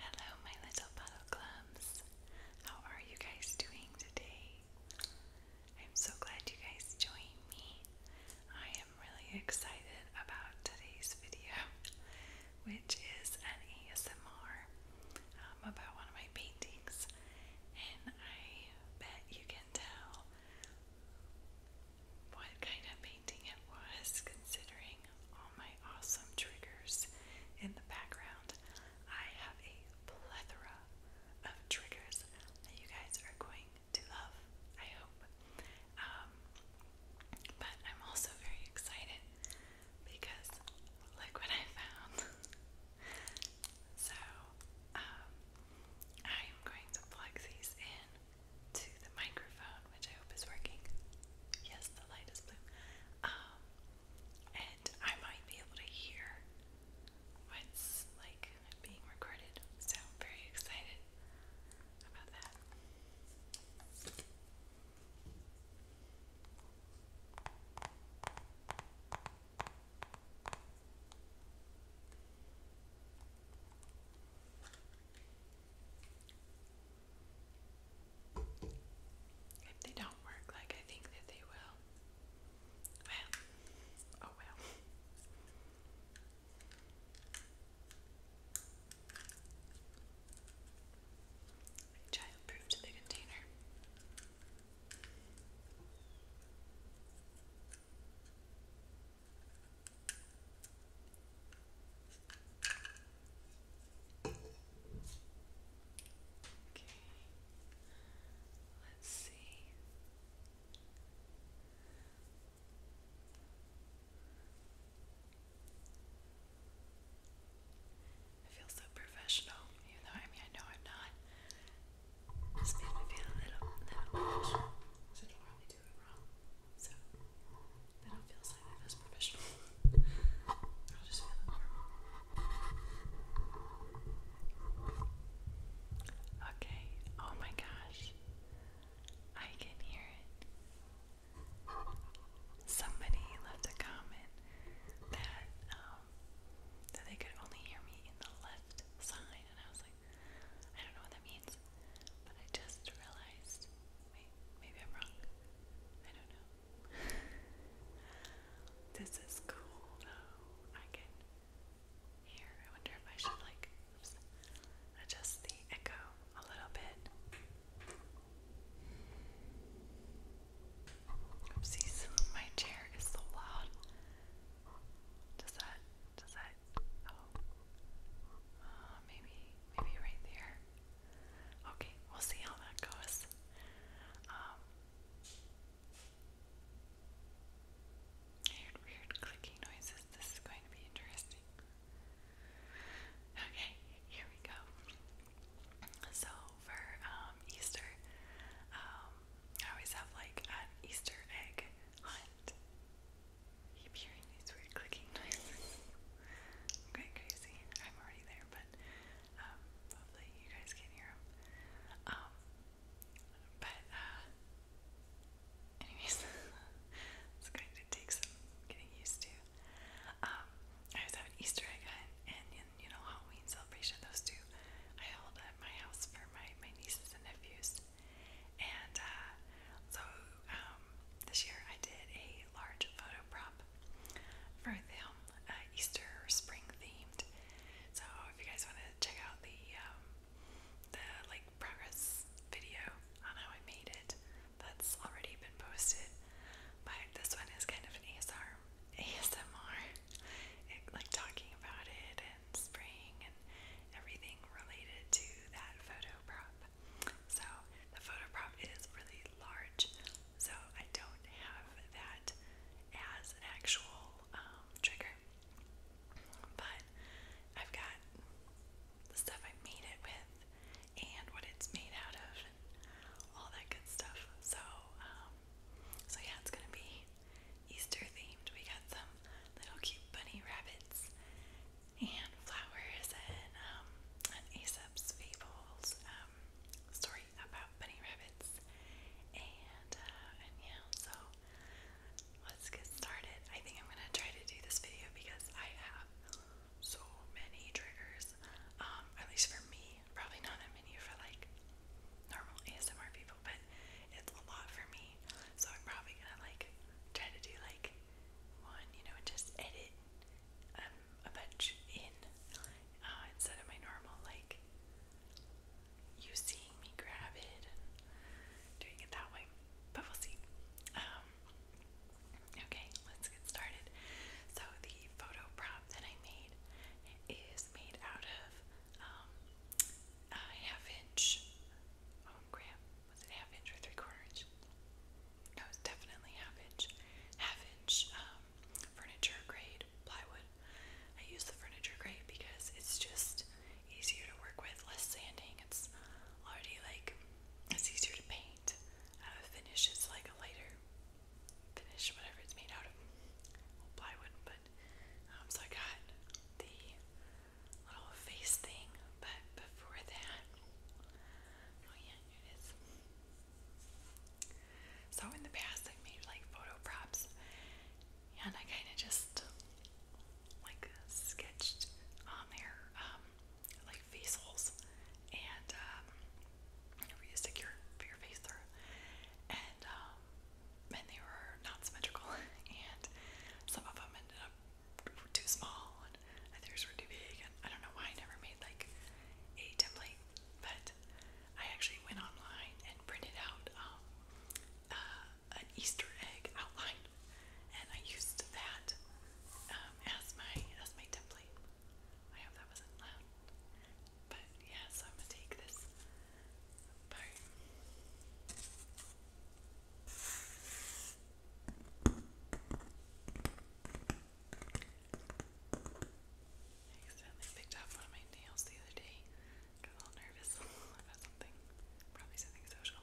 Hello, my little bottle clums. How are you guys doing today? I'm so glad you guys joined me. I am really excited about today's video, which is an ASMR um, about one of my paintings, and I bet you can tell what kind of painting it was, considering all my awesome triggers in the background. I have a plethora of triggers that you guys are going to love, I hope. Um, but I'm also very excited because look what I found. so, I'm um, going to plug these in to the microphone which I hope is working. Yes, the light is blue. Um, and I might be able to hear what's like being recorded. So very excited about that. If they don't work like I think that they will, well, oh well. Child proof to the container. Okay. Let's see. I feel so professional, even though I mean I know I'm not. Just made me feel a little, little professional. Should normally do it wrong. So, I don't feel slightly less professional. i Okay, oh my gosh. I can hear it. Somebody left a comment that um that they could only hear me in the left side and I was like, I don't know what that means. But I just realized maybe I'm wrong. I don't know. This is cool though. I can hear. I wonder if I should like adjust the echo a little bit. Oopsies, my chair is so loud. Does that, does that, oh, uh, maybe, maybe right there. Okay, we'll see how that goes. Um, weird clicking noises. This is going to be interesting. Okay, here we go. So for um, Easter, um, I always have like an Easter egg hunt. keep hearing these weird clicking noises. I'm going crazy. I'm already there, but um, hopefully you guys can hear Um, but uh, anyways, it's going to take some getting used to. Um, I was having Easter egg hunt and, you know Halloween celebration. Those two I held at my house for my my nieces and nephews, and uh, so um, um, this year I did a large photo prop for the uh, Easter spring themed. So if you guys want to check out the um, the like progress video on how I made it, that's already been posted. But this one is kind of an ASR, ASMR, like talking about it and spring and everything related to that photo prop. So the photo prop is really large, so I don't have that as an actual um, trigger. But I've got the stuff I made it with and what it's made out of all that good stuff. So, um, so yeah, it's gonna be Easter themed. We got some little cute bunny rabbits and flowers and um, and Aesop's um, story about bunny rabbits. Uh, and, yeah, so let's get started. I think I'm gonna try to do this video because I have so many triggers. Um, at least for me, probably not as many for like normal ASMR people, but it's a lot for me. So I'm probably gonna like try to do like one, you know, and just edit. Um, a bunch in uh, instead of my normal like you seeing me grab it doing it that way. But we'll see. Um, okay, let's get started. So the photo prop that I made is made out of um, a half inch. Oh crap! Was it half inch or three quarter inch? No, it's definitely half inch. Half inch um, furniture grade plywood. I use the furniture grade because it's just easier to work with, less sanding. It's already like it's easier to paint. Uh, finish is like a lighter finish, whatever it's made out of. plywood, but um, so I got the little face thing, but before that, oh yeah, it is. So in the past, I made like photo props, and I kind of just like sketched on um, their um, like face and you stick your your face through, and um, and they were not symmetrical, and some of them ended up too small, and others were too big, I don't know why I never made like a template, but I actually went online and printed out um, uh, an Easter egg outline, and I used that um, as my as my template. I hope that wasn't loud, but yeah. So I'm gonna take this part. I accidentally picked up one of my nails the other day. Got a nervous about something. Probably something social.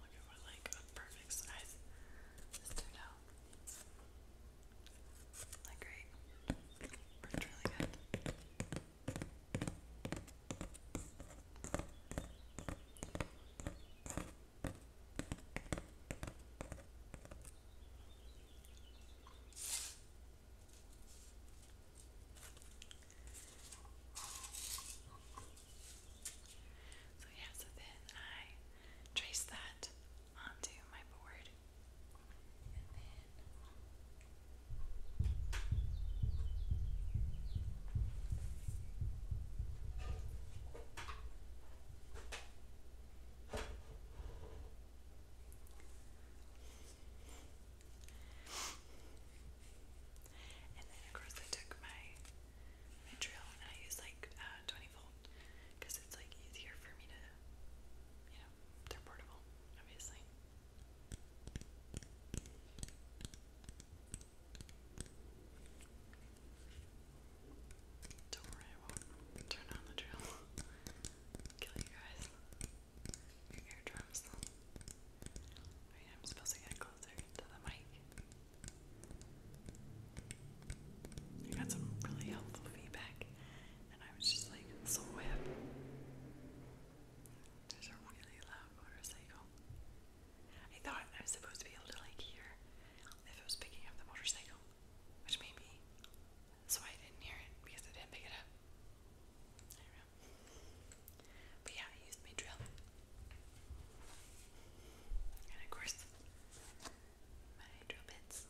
wonder what like a perfect size this turned out. Like great. Worked really good. So yeah, so then I trace that onto my board and then and then, of course, I took my, my and I use like uh, 20 volt because it's like easier for me to, you know, they're portable, obviously. Don't worry, I won't turn on the drill. Kill you guys. Your eardrums. I'm supposed to get closer to the mic. I got some really helpful feedback, and I was just like, so whip. There's a really loud motorcycle. I thought I was supposed to be able to like hear if it was picking up the motorcycle, which maybe that's why I didn't hear it because I didn't pick it up. But yeah, used my drill. And of course, my drill bits.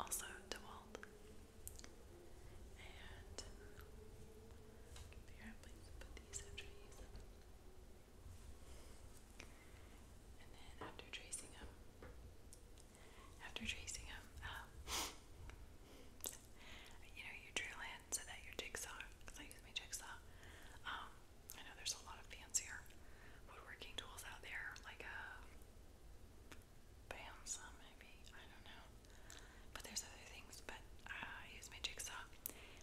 Also DeWalt. And here, please put these after tracing them, after tracing them, um, you know, you drill in so that your jigsaw, because I use my jigsaw. Um, I know there's a lot of fancier woodworking tools out there, like a uh, bandsaw maybe, I don't know. But there's other things, but uh, I use my jigsaw,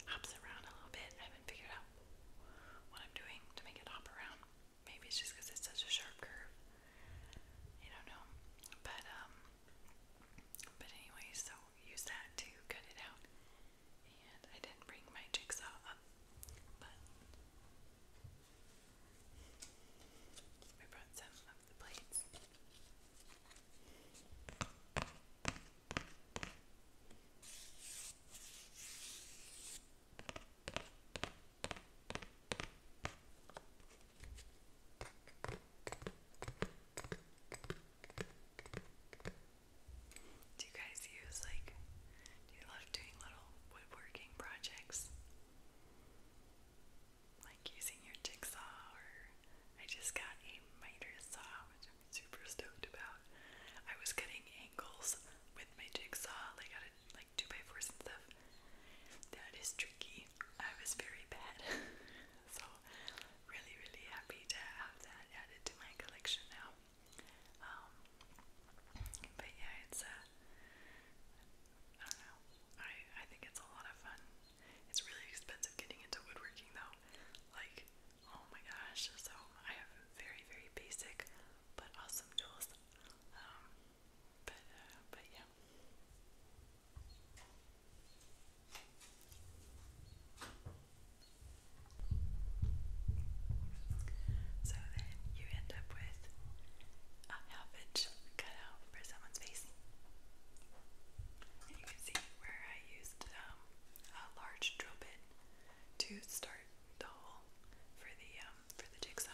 hops around a little bit. I haven't figured out what I'm doing to make it hop around. Maybe it's just because it's such a sharp curve. You don't know. But, um, but anyway, so use that to cut it out. And I didn't bring my jigsaw up, but I brought some of the plates. Do you guys use like do you love doing little woodworking projects? Like using your jigsaw or I just got a miter saw which I'm super stoked about. I was cutting angles with my jigsaw, like out like two by fours and stuff. That is tricky. I was very bad. so really, really happy to have that added to my collection now. Um, but yeah, it's a, uh, I don't know, I, I think it's a lot of fun. It's really expensive getting into woodworking though. Like, oh my gosh, so I have very, very basic but awesome tools. Um, but, uh, but yeah. So then you end up with a half cutout for someone's face. And you can see where I used um, a large drill bit to start the hole for the um, for the jigsaw.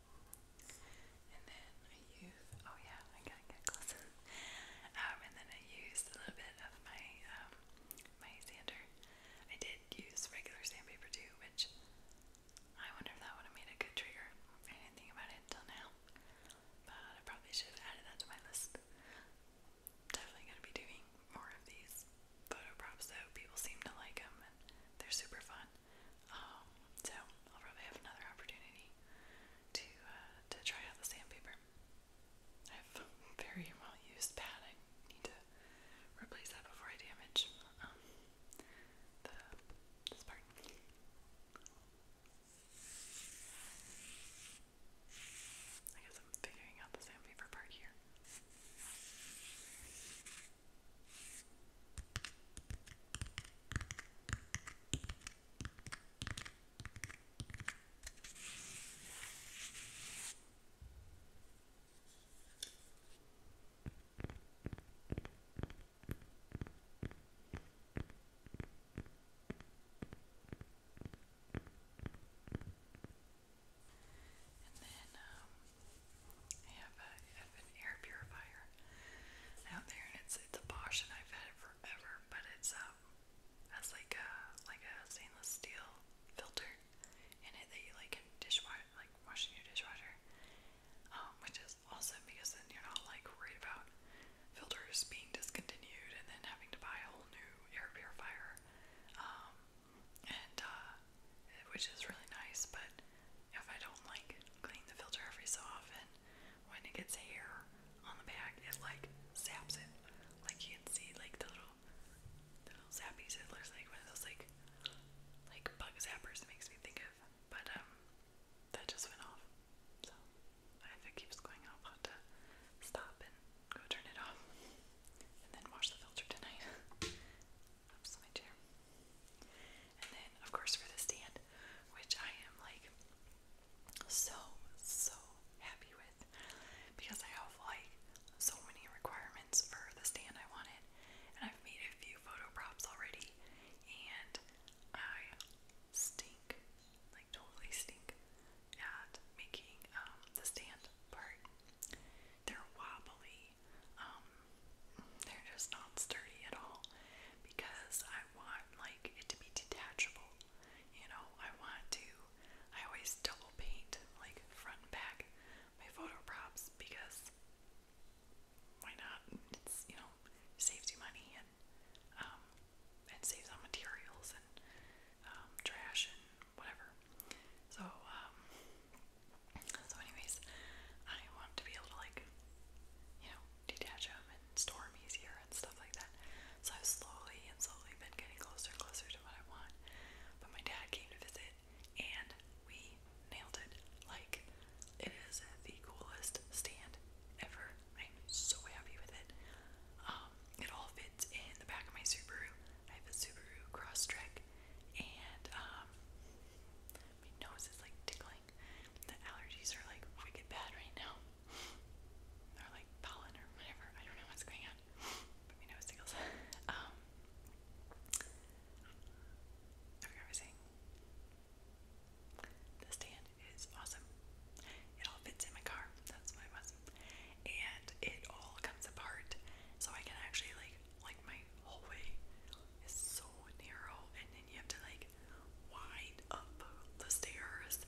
And then I use, oh yeah, I gotta get closer. Um, and then I used a little bit of my, um, my sander. I did use regular sandpaper too, which I wonder if that would have made a good trigger. I didn't think about it until now, but I probably should have added that to my list. Definitely gonna be doing more of these photo props though. People seem to like them they're super fun fun. Um, so I'll probably have another opportunity to uh, to try out the sandpaper. I have very well used pad. I need to replace that before I damage um, the this part. I guess I'm figuring out the sandpaper part here. And then um, I an air purifier out there, and it's it's a Bosch, and I've had it forever, but it's um has like a like a stainless steel filter in it that you like can dishwash like wash your dishwasher, um, which is awesome because then you're not like worried about filters being discontinued and then having to buy a whole new air purifier, um, and uh, which is really nice, but if I don't like clean the filter every so often, when it gets hair on the back, it like saps it. Like you can see like the little little zappies. It looks like one of those like like bug zappers makes me think of. But um that just went off. So if it keeps going I'll have to stop and go turn it off. And then wash the filter tonight. Oops, my and then, of course, for the stand, which I am like so, so happy with because I have like so many requirements for the stand I wanted. And I've made a few photo props already, and I stink, like totally stink, at making um, the stand part. They're wobbly. Um, they're just not sturdy at all because I want want like it to be detachable. You know, I want to I always double paint like front and back my photo props because why not? It's you know, saves you money and um and saves on materials and um trash and whatever. So um so anyways I want to be able to like you know detach them and store easier and stuff like that. So I've slowly and slowly been getting closer and closer to what I want. But my dad came to visit and we nailed it. Like, it is the coolest stand ever. I'm so happy with it. Um, it all fits in the back of my Subaru. I have a Subaru Crosstrek and um, my nose is like tickling the allergies are like wicked bad right now. Or like pollen or whatever. I don't know what's going on. But my nose tickles. um I forgot what I was The stand is awesome. It all fits in my car. That's what it was. And it all comes apart. So I can actually like like my hallway is so narrow and then you have to like wind up the stairs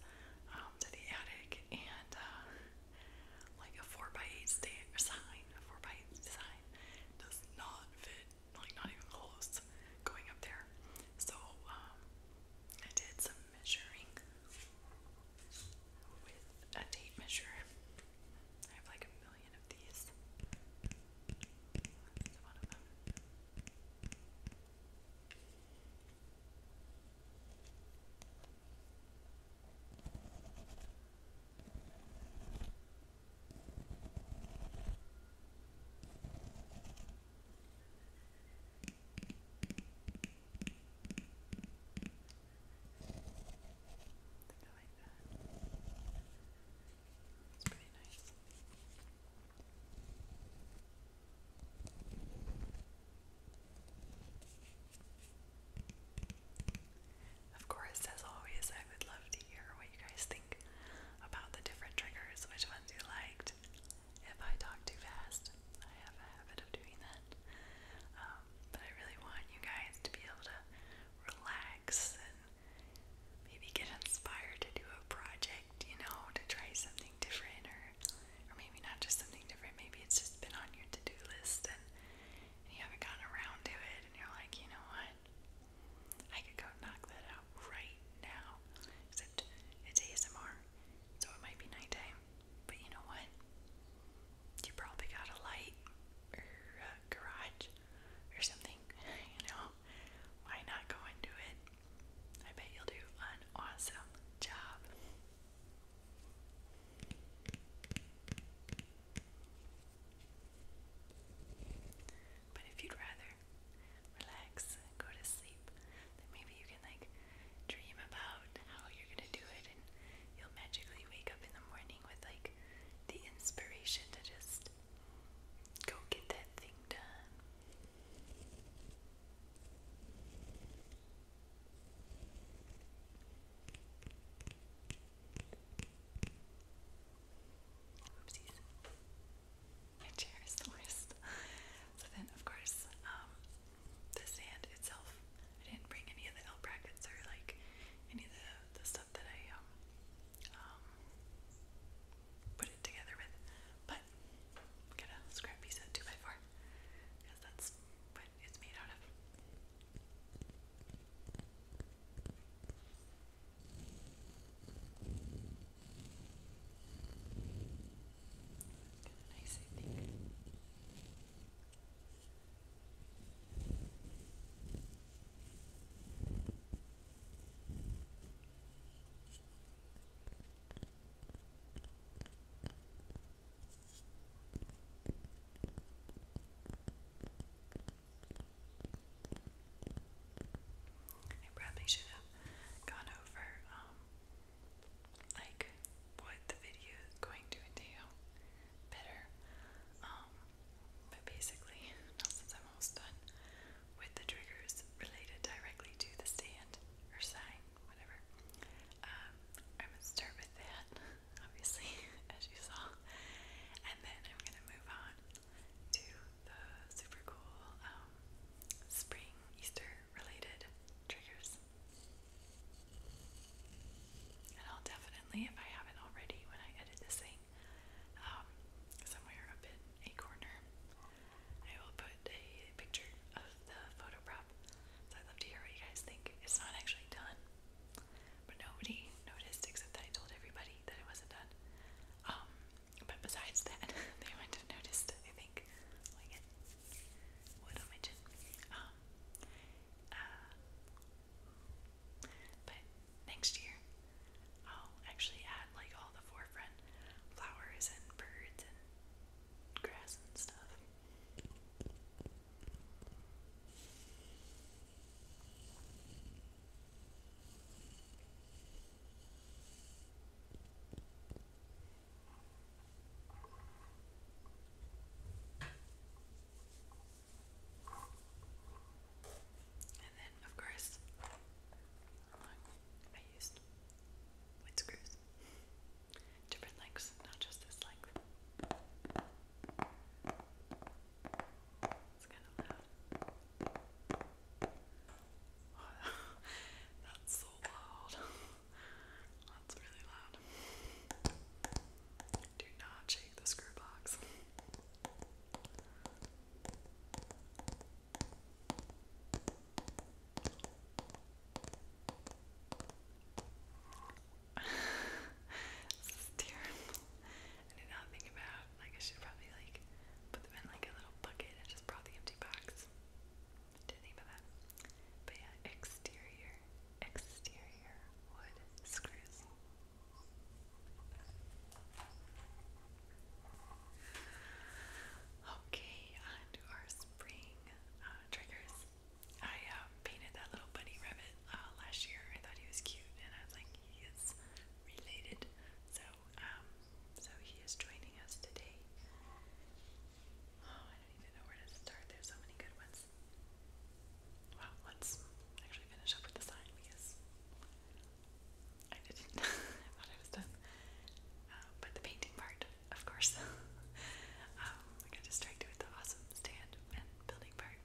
um, to the attic and uh, like a 4x8 stair sign, a 4x8 sign does not fit, like not even close going up there. So um, I did some measuring with a tape measure. I have like a million of these. That's one of them. I like that. It's pretty nice. Of course, as always, I would love to hear what you guys think about the different triggers, which ones you liked. If I talk too fast, I have a habit of doing that. Um, but I really want you guys to be able to relax maybe get inspired to do a project, you know, to try something different or or maybe not just something different, maybe it's just been on your to-do list and, and you haven't gotten around to it and you're like, you know what? I could go knock that out right now. Except it's ASMR, so it might be nighttime. But you know what? You probably got a light or a garage or something, you know? Why not go and do it? I bet you'll do an awesome job. But if you'd rather relax go to sleep, then maybe you can like dream about how you're gonna do it and you'll magically wake up in the morning with like the inspiration to just go get that thing done. Oopsies. My chair is the worst. so then, of course, um, the sand itself. I didn't bring any of the L brackets or like any of the, the stuff that I um, um put it together with. But but i scrap piece out 2x4 because that's what it's made out of. nice, I think. I probably should have gone over um, like what the video is going to entail better. Um, but basically now since I'm almost done with the triggers related directly to the stand or sign, whatever. I'm um, gonna start with that, obviously, as you saw, and then I'm gonna move on to the super cool um, spring Easter related triggers. And I'll definitely, if I haven't already, when I edit this thing, um, somewhere up in a corner, I will put a picture of the photo prop. So I'd love to hear what you guys think. It's not actually done, but nobody noticed except that I told everybody that it wasn't done. Um, but besides that, they might have noticed. I think, like it, wood on my chin. Um, uh, but next year, I'll I'll actually add like all the forefront flowers and birds and grass and stuff. And then, of course, I used wood screws, different lengths, not just this length. It's kind of loud. that's so loud. That's really loud. Do not shake the screw box this I about like I should probably like put them in like a little bucket and just brought the empty box. Didn't that. But yeah, exterior, exterior wood screws. Okay, on our spring uh, triggers. I uh, painted that little bunny rabbit uh, last year. I thought he was cute, and I was like, he is related. So, um, so he is joining us today. Oh, I don't even know where to start. There's so many good ones. Well, let's actually finish up with the sign I didn't. I thought I was done. Uh, but the painting part, of course. Um, I got distracted with the awesome stand and building part.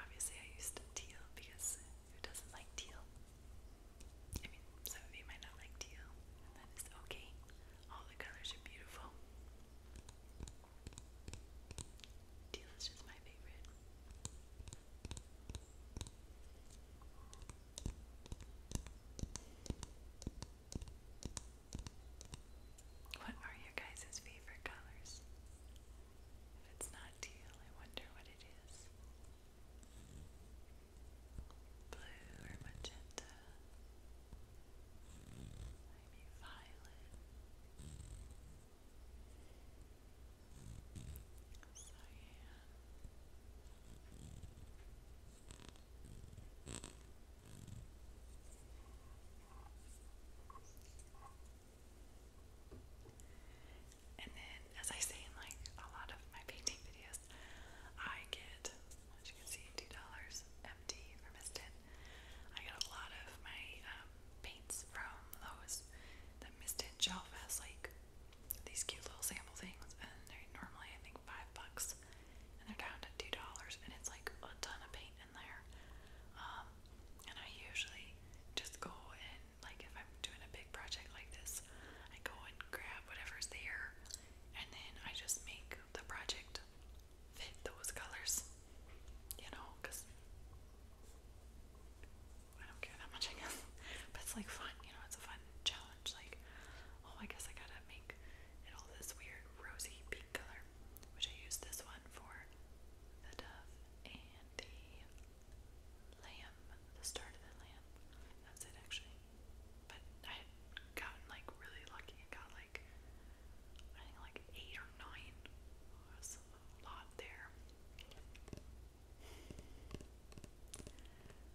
Obviously, I used teal because who doesn't like teal? I mean, some of you might not like teal, and that is okay. All the colors are beautiful. Teal is just my favorite. What are your guys' favorite colors? If it's not teal, I wonder what it is. Blue or magenta? Maybe violet. So yeah, and then, as I say in like a lot of my painting videos, I get, as you can see, $2 empty from Mistin. I get a lot of my um, paints from those that Mistin shelf has like these cute little sample things, and they're normally I think five bucks, and they're down to two dollars, and it's like a ton of paint in there. Um, and I usually just go and like if I'm doing a big project like this, I go and grab whatever's there, and then I just make the project fit those colors, you know, because. I don't care that much, I guess. But it's like fun, you know, it's a fun challenge like oh I guess I gotta make it all this weird rosy pink color which I used this one for the dove and the lamb the start of the lamb that's it actually but I had like really lucky I got like I think like eight or nine oh, was a lot there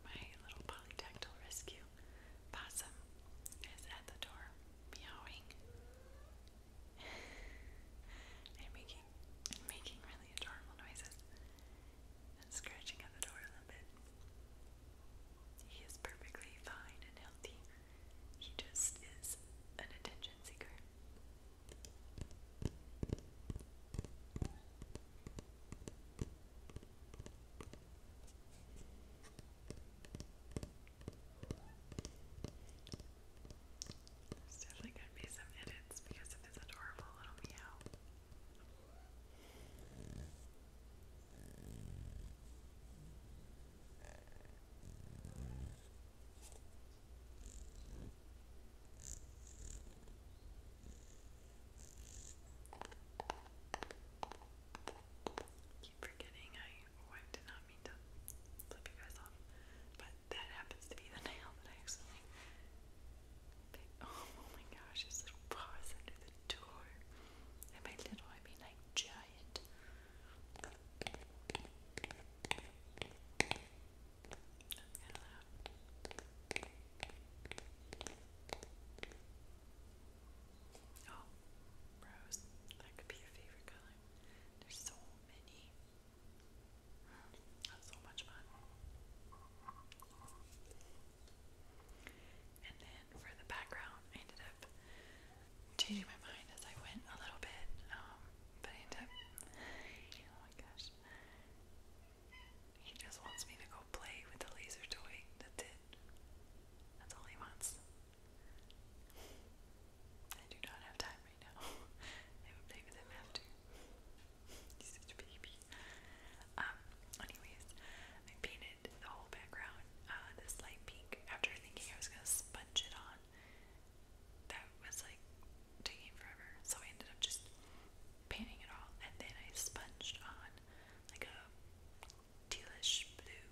my little polydactyl rescue possum is at the door meowing and making making really adorable noises and scratching at the door a little bit. He is perfectly fine and healthy. He just is an attention seeker. There's definitely going to be some edits because of his adorable little meow. Keep forgetting oh, I did not mean to flip you guys off. But that happens to be the nail that I accidentally picked. Oh, oh my gosh, it's little paws under the door. And by little I mean like giant. Oh, rose. That could be your favorite color. There's so many. so much fun. And then for the background, I ended up changing my mind as I went a little bit. Um, but I ended up, oh my gosh, he just wants me to go play with the laser toy. That's it. That's all he wants. I do not have time right now. I will play with him after. He's such a baby. Um, anyways, I painted the whole background uh, this light pink after thinking I was gonna sponge it on. That was like taking forever, so I ended up just painting it all and then I sponged on like a tealish blue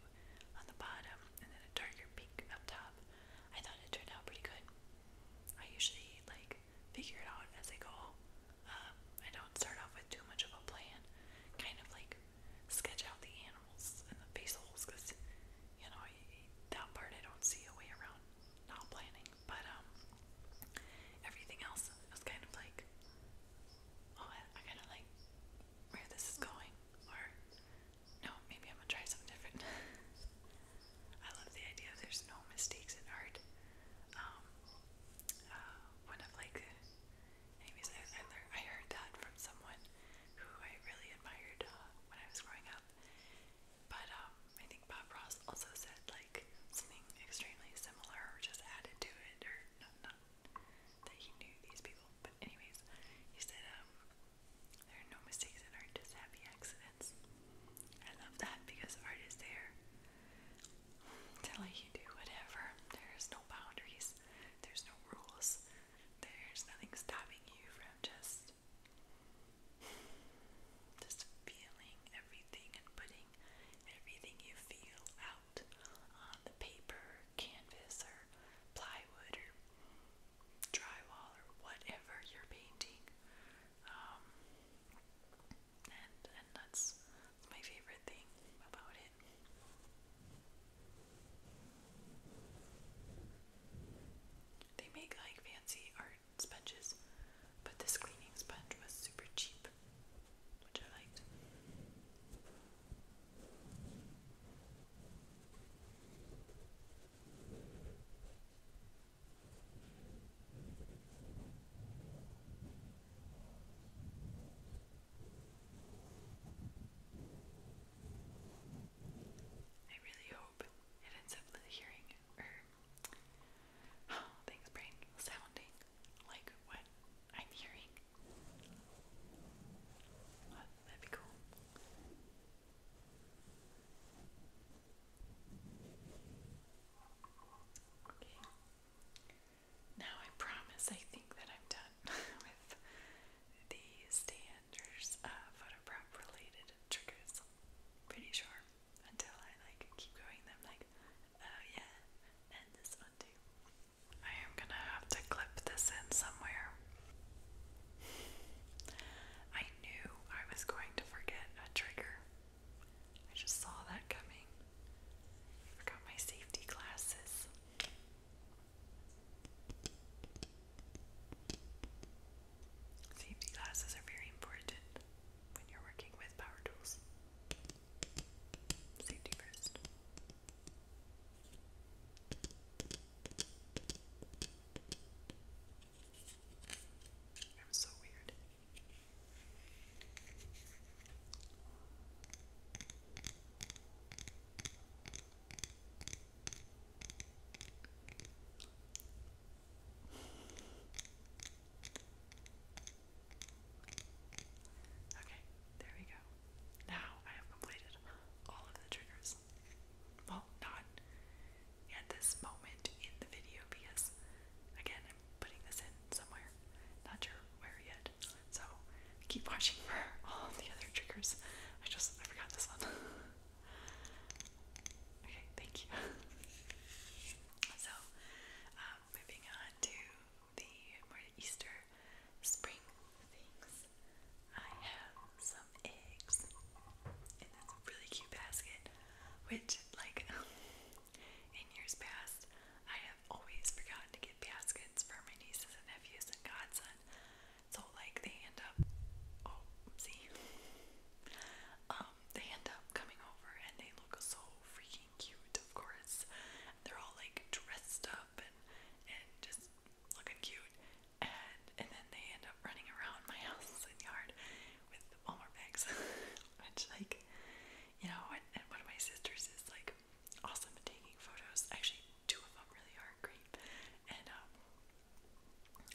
on the bottom and then a darker pink up top. I thought it turned out pretty good. I usually like figure it out as I go. Um, I don't start off with too much of a plan. Kind of like sketch out the animals and the face holes because you know that part I don't see a way around not planning. But um, Everything else was kind of like, oh, I, kind of like where this is going, or no, maybe I'm gonna try something different. I love the idea of there's no mistakes in art. Um, uh, one like, anyways, I, heard that from someone who I really admired uh, when I was growing up. But um, I think Bob Ross also said like something extremely similar, or just added to it, or that he knew these people, but anyways, he said, um, there are no mistakes in art, just happy accidents. I love that because art is there to let you do whatever. There's no boundaries, there's no rules, there's nothing stopping you from just just feeling everything and putting everything you feel out on the paper, canvas, or plywood, or drywall, or whatever you're painting. Um, and and that's my favorite thing about it. They make like fancy art sponges, but this cleaning sponge was super cheap shape, which I really hope it ends up hearing or oh, brain sounding like what I'm hearing. Oh, that'd be cool. Okay. Now I promise I think that I'm done with the Standers uh, photo prep related triggers. Pretty sure. Until I like keep going, them like, oh yeah, and this one. I am gonna have to clip this in somewhere. I knew I was going to forget a trigger. I just saw that coming. forgot my safety glasses. Safety glasses are very important when you're working with power tools. Safety first. I'm so weird. Okay, there we go. Now I have completed all of the triggers. Well, not at this moment in the video because, again, I'm putting this in somewhere. Not sure where yet. So keep watching for all the other triggers. I just I forgot this one. okay, thank you. so, um, moving on to the Easter spring things. I have some eggs in this really cute basket, which, like, in years past, I have always forgotten to get baskets for my nieces and nephews and godson. So, like, they end up, oh, see, um, they end up coming over and they look so freaking cute, of course. They're all like dressed up and and just looking cute. And and then they end up running around my house and yard with Walmart bags. Which like you know, and, one of my sisters is like awesome at taking photos. Actually two of them really are great. And um,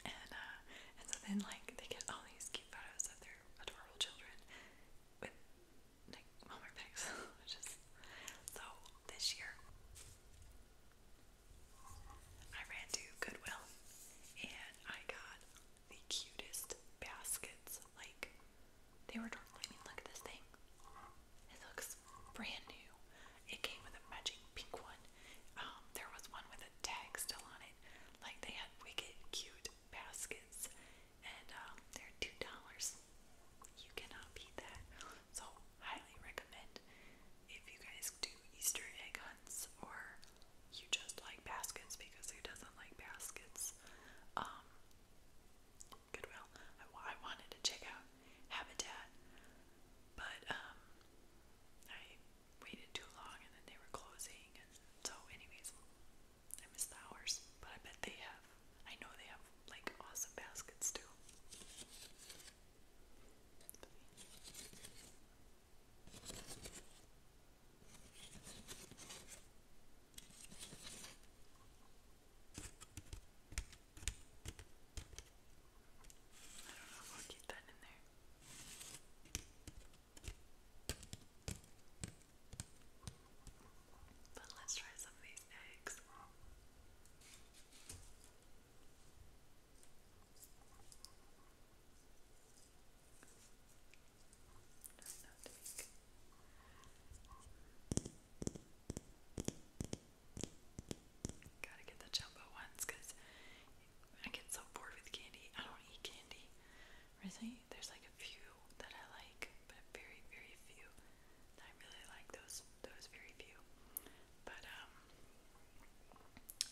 and uh, and so then like they get all these cute photos of their adorable children like Walmart bags, which so this year. I ran to Goodwill and I got the cutest baskets. Like they were totally I mean look at this thing. It looks brand new. It came with a matching pink one. Um, there was one with a tag still on it. Like they had wicked cute baskets and um, they're two dollars. You cannot beat that. So highly recommend if you guys do Easter egg hunts or you just like baskets because who doesn't like baskets? Um, Goodwill. I, I wanted to check out Habitat, but um, I waited too long and then they were closing. And so, anyways, I miss the hours, but I bet they have. I know they have like awesome baskets too. I don't know if I'll keep that in there. But let's try some of these eggs. Gotta get the jumbo ones because I get so bored with candy. I don't eat candy. Really? There's like a few that I like, but very, very few. I really like those those very few. But um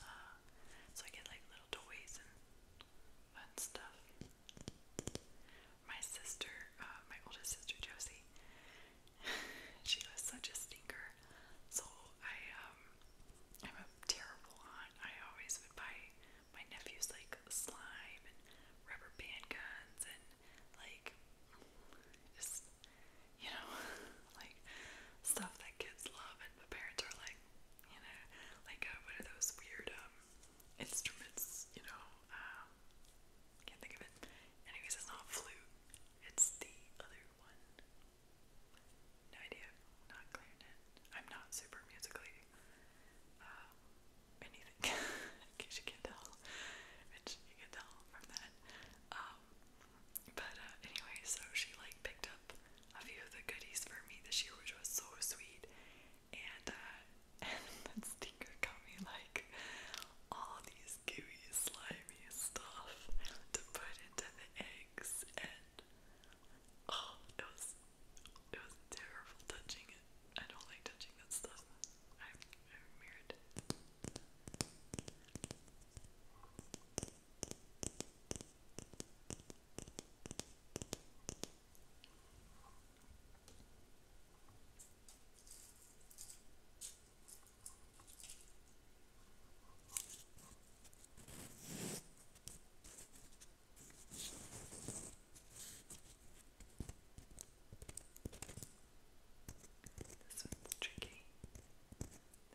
uh so I get like little toys and fun stuff. My sister, uh, my oldest sister Josie, she was such a stinker. So I um I'm a terrible aunt. I always would buy my nephews like slime and rubber band guns and like just you know, like stuff that kids love and the parents are like, you know, like uh, what are those weird um instruments, you know, um can't think of it. Anyways, it's not flute, it's the other one. No idea, not clarinet. I'm not super musically um anything, in case you can tell, which you can tell from that. Um, but uh, anyway, so she like picked up a few of the goodies for me this year, which was so sweet. And uh, and then Stinker got me like all these gooey, slimy stuff to put into the eggs, and oh, it was it was terrible touching it. I don't like touching that stuff. I'm, weird. This one's tricky.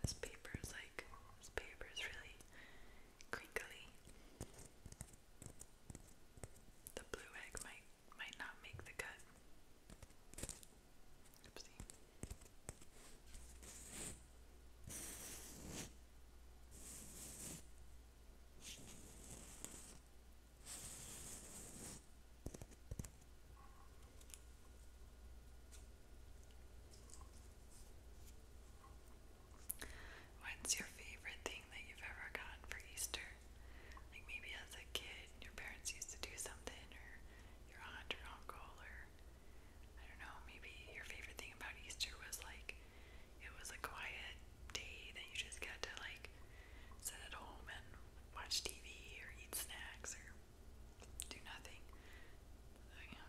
This paper is like, this paper is really crinkly. The blue egg might might not make the cut. Oopsie. What's your favorite thing that you've ever gotten for Easter? Like maybe as a kid, your parents used to do something, or your aunt or uncle, or I don't know, maybe your favorite thing about Easter was like it was a quiet day that you just got to like sit at home and watch TV or eat snacks or do nothing. So, yeah.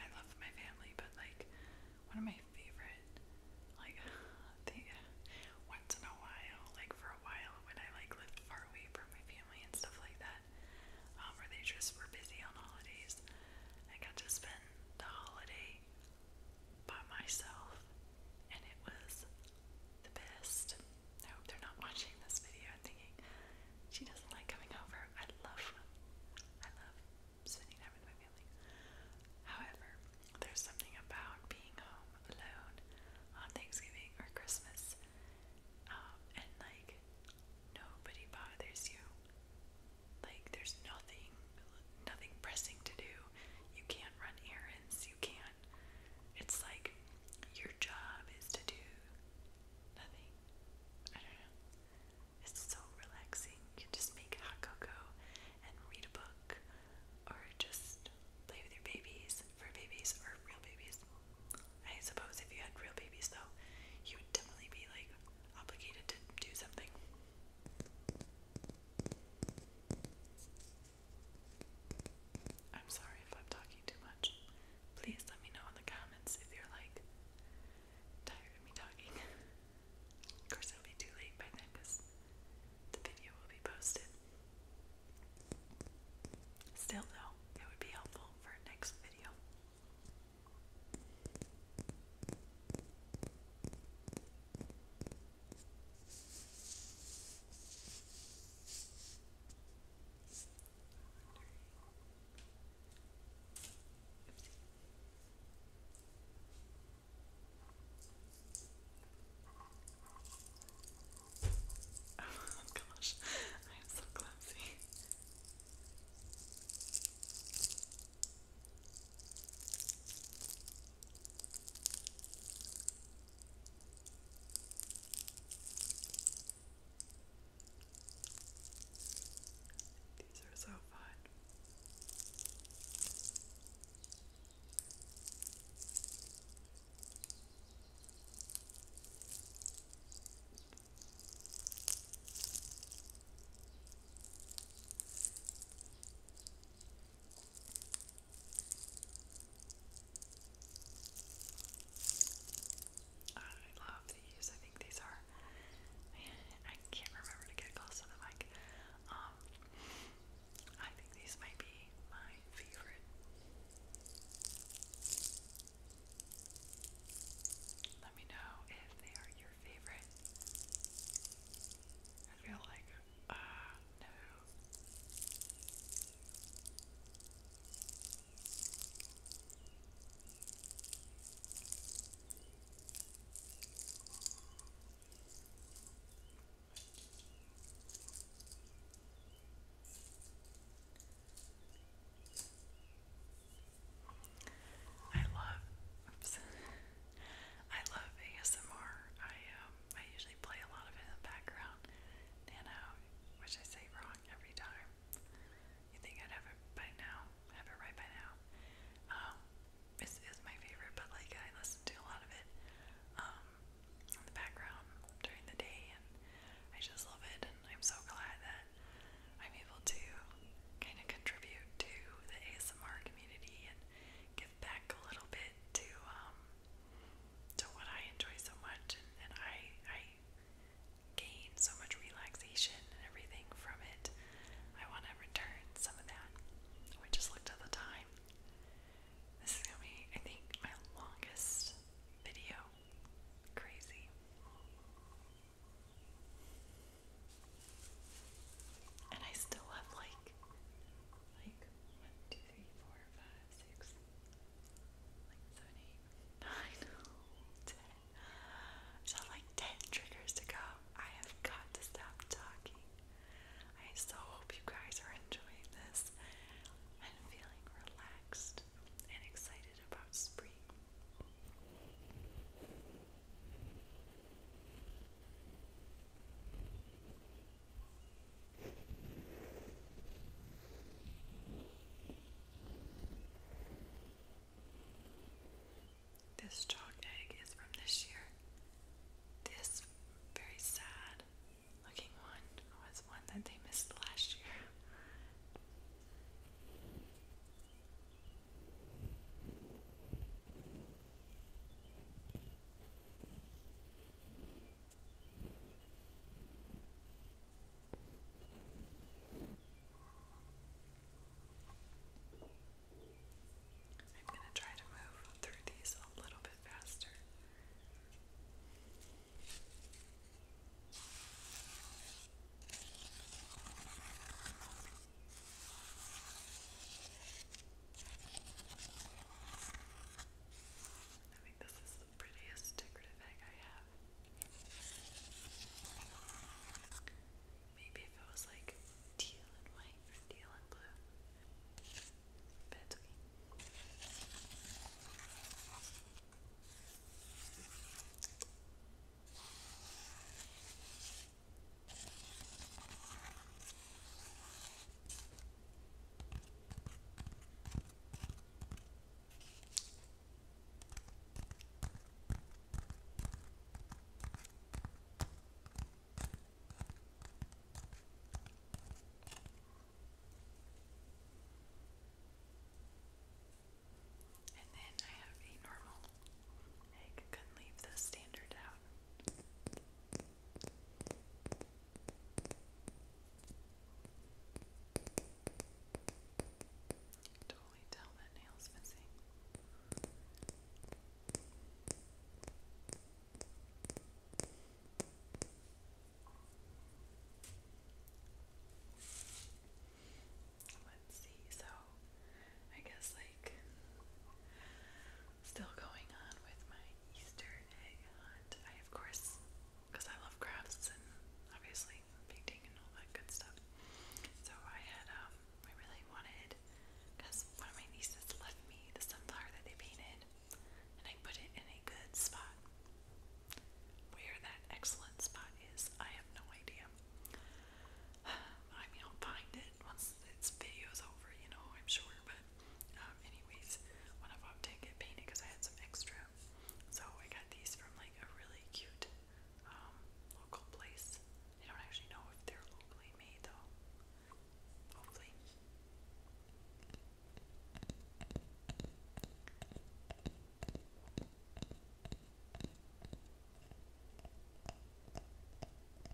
I love my family, but like one of my favorite, like thing, once in a while, like for a while when I like lived far away from my family and stuff like that, um, where they just were busy on holidays, I got to spend the holiday by myself, and it was the best. I hope they're not watching this video and thinking she doesn't like coming over. I love, I love spending time with my family. However, there's something about being home alone on Thanksgiving or Christmas, um, and like nobody bothers you. Like there's nothing nothing pressing to do. You can't run errands, you can't. It's like your job is to do nothing. I don't know. It's so relaxing. You just make hot cocoa and read a book or just play with your babies for babies or real babies. I suppose if you had real babies though, you would definitely be like obligated to do something. I'm sorry if I'm talking too much. Please let me know in the comments if you're like tired of me talking. of course, it'll be too late by then because the video will be posted. Still, though, it would be helpful for next video. Oh gosh, I am so clumsy. These are so fun. I love these. I think these are. I can't remember to get close to the mic. Um, I think these might be my favorite. Let me know if they are your your favorite? I feel like, uh, no. I love oops, I love ASMR. I um I usually play a lot of it in the background. You know, which I say wrong every time. You think I'd have it by now, have it right by now. Um this is my favorite, but like I listen to a lot of it um in the background during the day and I just love it and I'm so glad that I'm able to kind of contribute to the ASMR community and give back a little bit to um, to what I enjoy so much, and I I gain so much relaxation and everything from it. I want to return some of that. We just looked at the time. This is gonna be, I think, my longest video. Crazy. And I still have like like one, two, three, four, five, six, like seven, eight, nine, ten. So like ten triggers to go. I have got to stop talking. I so hope you guys are enjoying this and feeling relaxed and excited about spring. This chalk egg is from this year. This very sad looking one was one that they missed last year. I'm going to try to move through these a little bit faster. Okay. I think this is the prettiest decorative egg I have. Maybe if it was like teal and white or teal and blue. But and then I have a normal Egg couldn't leave the standard out. Totally tell that nail's missing let's see. So, I guess like still going on with my Easter egg hunt. I of course, because I love crafts and obviously painting and all that good stuff. So I had um, I really wanted because one of my nieces left me the sunflower that they painted, and I put it in a good spot. Where that excellent spot is, I have no idea. I mean, I'll find it once this video is over, you know, I'm sure. But, um, anyways, one of them did get I had some extra. So I got these from like a really cute um, local place. I don't actually know if they're locally made though. Hopefully.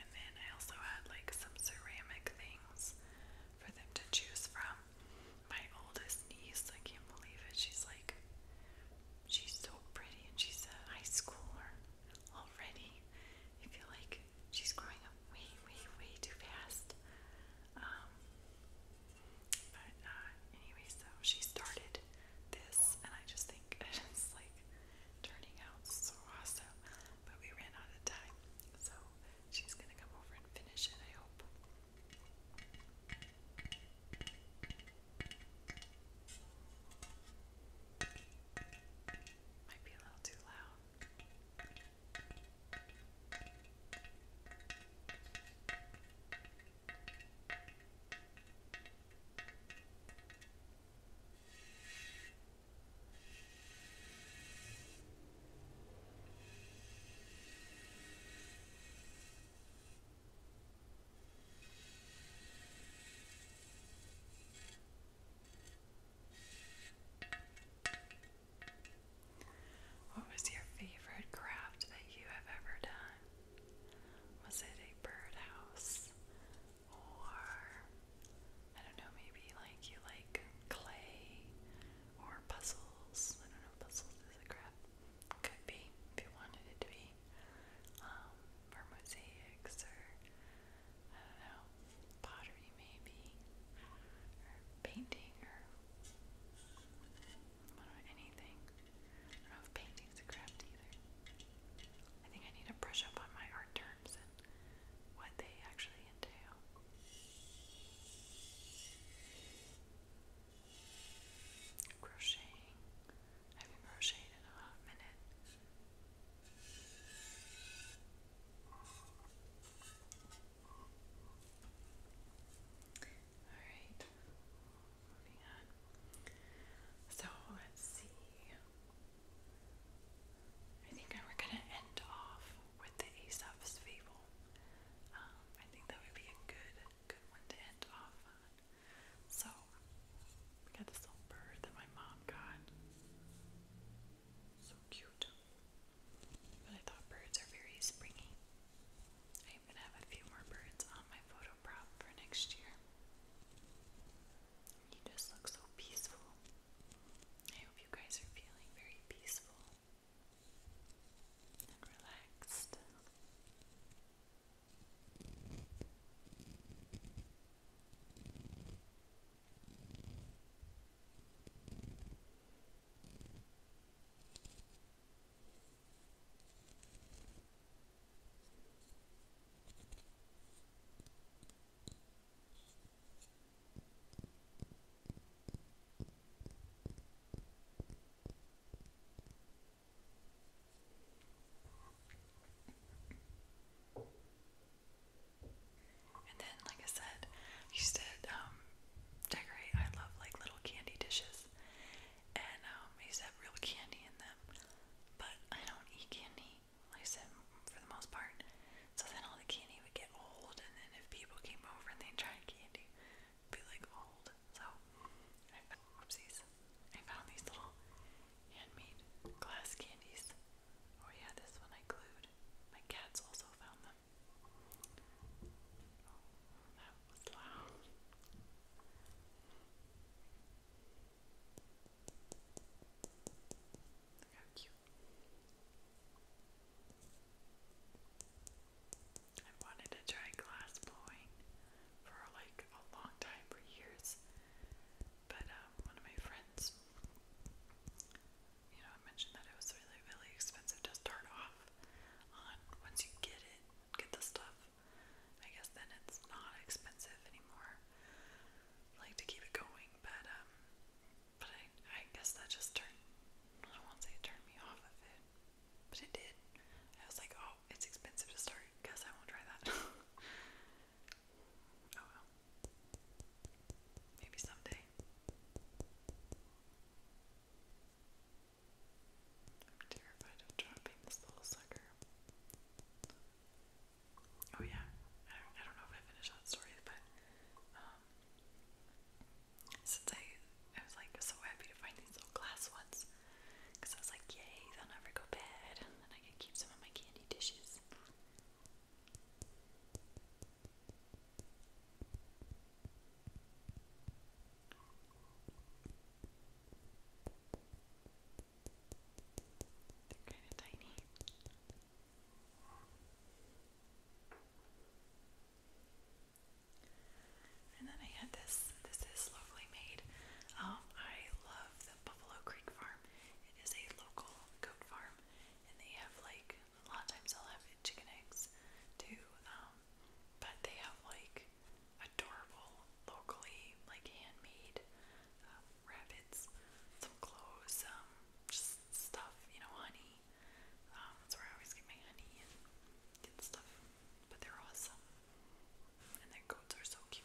And then I also had like some ceramic things for them to choose from. My oldest niece, I can't believe it. She's like, she's so pretty and she's a high schooler already. I feel like she's growing up way, way, way too fast. Um, but uh, anyway, so she started this, and I just think it is like turning out so awesome but we ran out of time. So she's gonna come over and finish it, I hope. Might be a little too loud. What was your favorite craft that you have ever done? Was it a birdhouse, or I don't know, maybe like you like clay or puzzles. I don't know, puzzles is a crap. Could be if you wanted it to be. Um, or mosaics or I don't know, pottery maybe, or painting or I don't know, anything. I don't a craft either. I think I need to brush up on my art terms terms and what they actually entail. Crocheting. in a hot minute. Alright, moving on. So let's see. I think we're gonna end off with the Aesop's Fable. Um, I think that would be a good, good one to end off on. So, we got this little bird that my mom got. So cute. But I thought birds are very springy. I even have a few more birds on my photo prop for next year. You just look so peaceful. I hope you guys are feeling very peaceful and relaxed. And then, like I said, I used um, to decorate. I love like little candy dishes, and um, I real candy in them. But I don't eat candy like I said, for the most part. So then all the candy would get old, and then if people came over and they tried candy, it'd be like old. So, I found, whoopsies, I found these little handmade glass candies. Oh yeah, this one I glued. My cats also found them. Oh, that was loud. Look I wanted to try glass blowing for like a long time, for years. But um, one of my friends, you know, mentioned that it was really, really expensive to start off on. Once you get it, get the stuff, I guess then it's not expensive anymore. like to keep it going, but um, but I, I guess that just turned, I don't say it turned me off of it, but it did. I was like, oh, it's expensive to start. Guess I won't try that. oh well. Maybe someday. I'm terrified of dropping this little sucker. Oh yeah, I don't, I don't know if I finished that story, but um, since I, I was like so happy to find these little glass ones, because I was like, yay, they'll never go bad, and I can keep some of my candy dishes. They're kind of tiny. And then I had this. This is locally made. Um, I love the Buffalo Creek Farm. It is a local goat farm, and they have like a lot of times they'll have chicken eggs too. Um, but they have like adorable, locally like handmade uh, rabbits, some clothes, um, just stuff, you know, honey. Um, that's where I always get my honey and get stuff. But they're awesome. And their coats are so cute.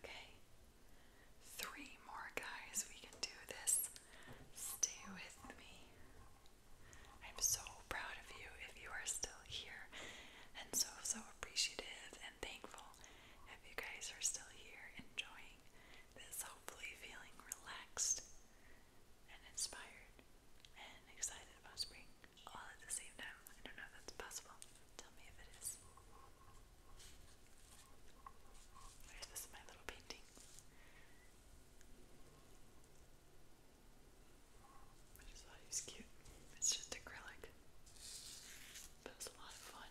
Okay, three more guys, we can do this. Stay with me. I'm so proud of you if you are still here, and so, so appreciative and thankful if you guys are still here enjoying this, hopefully, feeling relaxed and inspired and excited about spring all at the same time. I don't know if that's possible. Tell me if it is. Where's this my little painting? I just thought he cute. It's just acrylic. But it a lot of fun.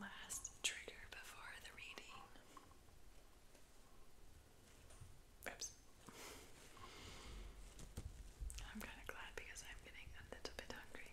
Last trigger before the reading. Oops. I'm kind of glad because I'm getting a little bit hungry.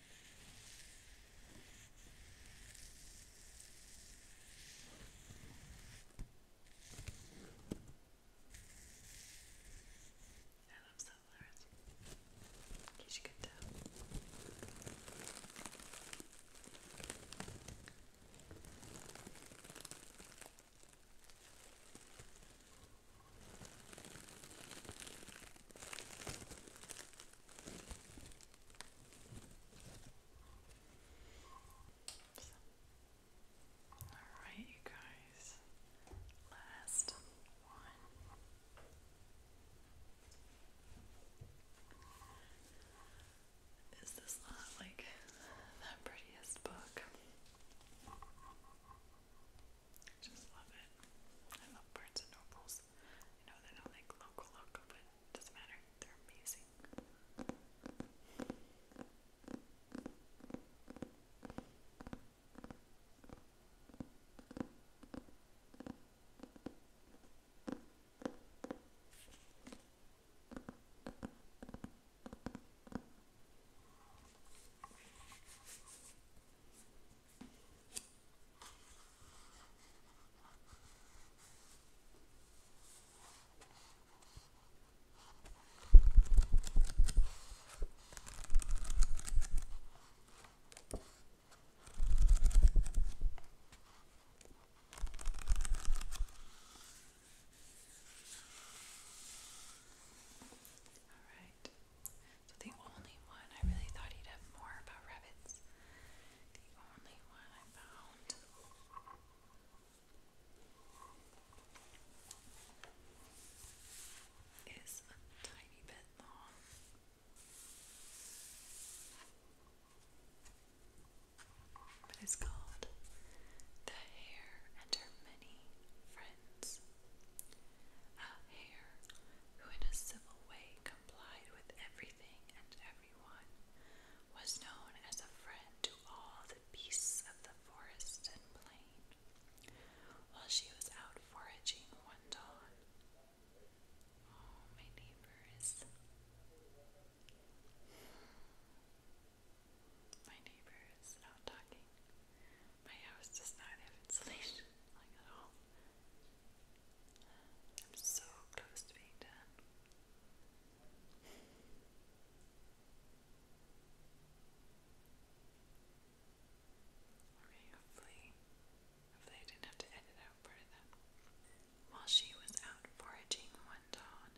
I love South Florence. In case you can tell. So. Alright, you guys. Last one. Is this not like the prettiest book? Just love it. I love Barnes and Nobles. I know they don't like local local, but doesn't matter. They're amazing. All right. So the only one I really thought he'd have more about rabbits the only one I found. Is a tiny bit long. But it's called The Hare and Her Many Friends. A hare who, in a civil way, complied with everything and was known as a friend to all the beasts of the forest and plain. While she was out foraging one dawn, oh, my neighbors. My neighbor is talking. My house does not have insulation, like at all. I'm so close to being done. hopefully, hopefully I didn't have to edit out part of that. While she was out foraging one dawn,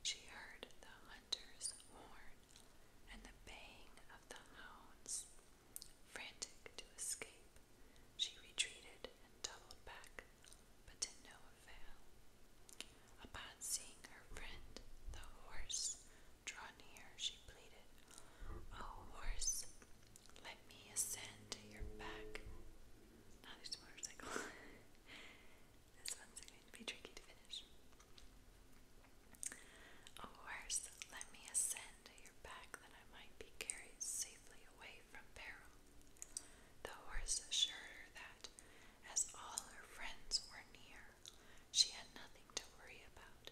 she heard the hunter's horn and the baying of the hounds. Frantic to escape, she retreated and doubled back, but to no avail. Upon seeing her friend, the horse, draw near, she pleaded, Oh, horse, let me ascend to your back. Now there's motorcycle. this one's going to be tricky to finish. Oh, horse, let me ascend your back that I might be carried safely away from peril. The horse assured her that, as all her friends were near, she had nothing to worry about,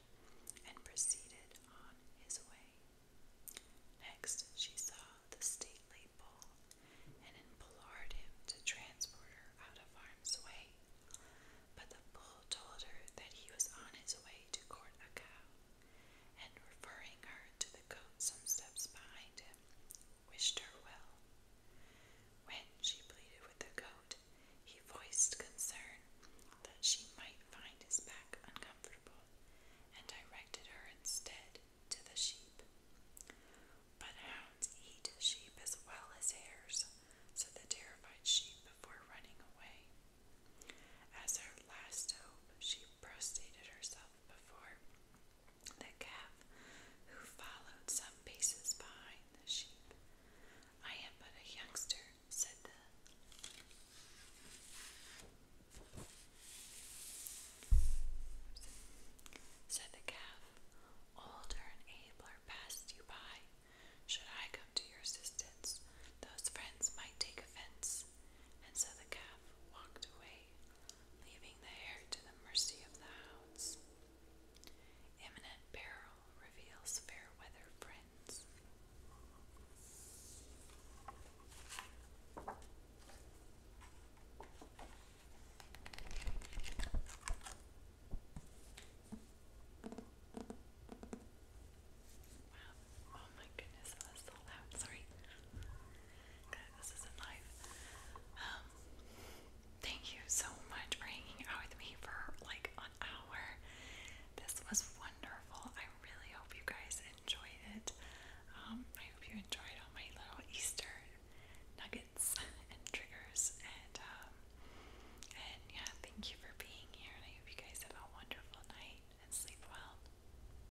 and proceeded on his way. Next, she saw the stately bull and implored him to transport her out of harm's way. But the bull told her that he was on his way to court a cow, and referring her to the goat, some steps behind him, wished her well. When she pleaded with the goat, he voiced concern that she might find his back uncomfortable and directed her instead to the sheep. But hounds eat sheep as well as hares, said the terrified sheep before running away. As her last hope, she prostrated herself before the calf who followed some paces behind the sheep. I am but a youngster, said the said the calf. Older and abler passed you by. Should I come to your assistance, those friends might take offense. And so the calf walked away leaving the heir to the mercy of the hounds. Imminent peril reveals fair weather friends. Oh my goodness, oh, that was so loud. Sorry. Okay, this isn't live. Um, thank you so much for hanging out with me for like an hour. This was wonderful. I really hope you guys enjoyed it. Um, I hope you enjoyed all my little Easter nuggets and triggers and um and yeah, thank you for being here and I hope you guys have a wonderful night and sleep well.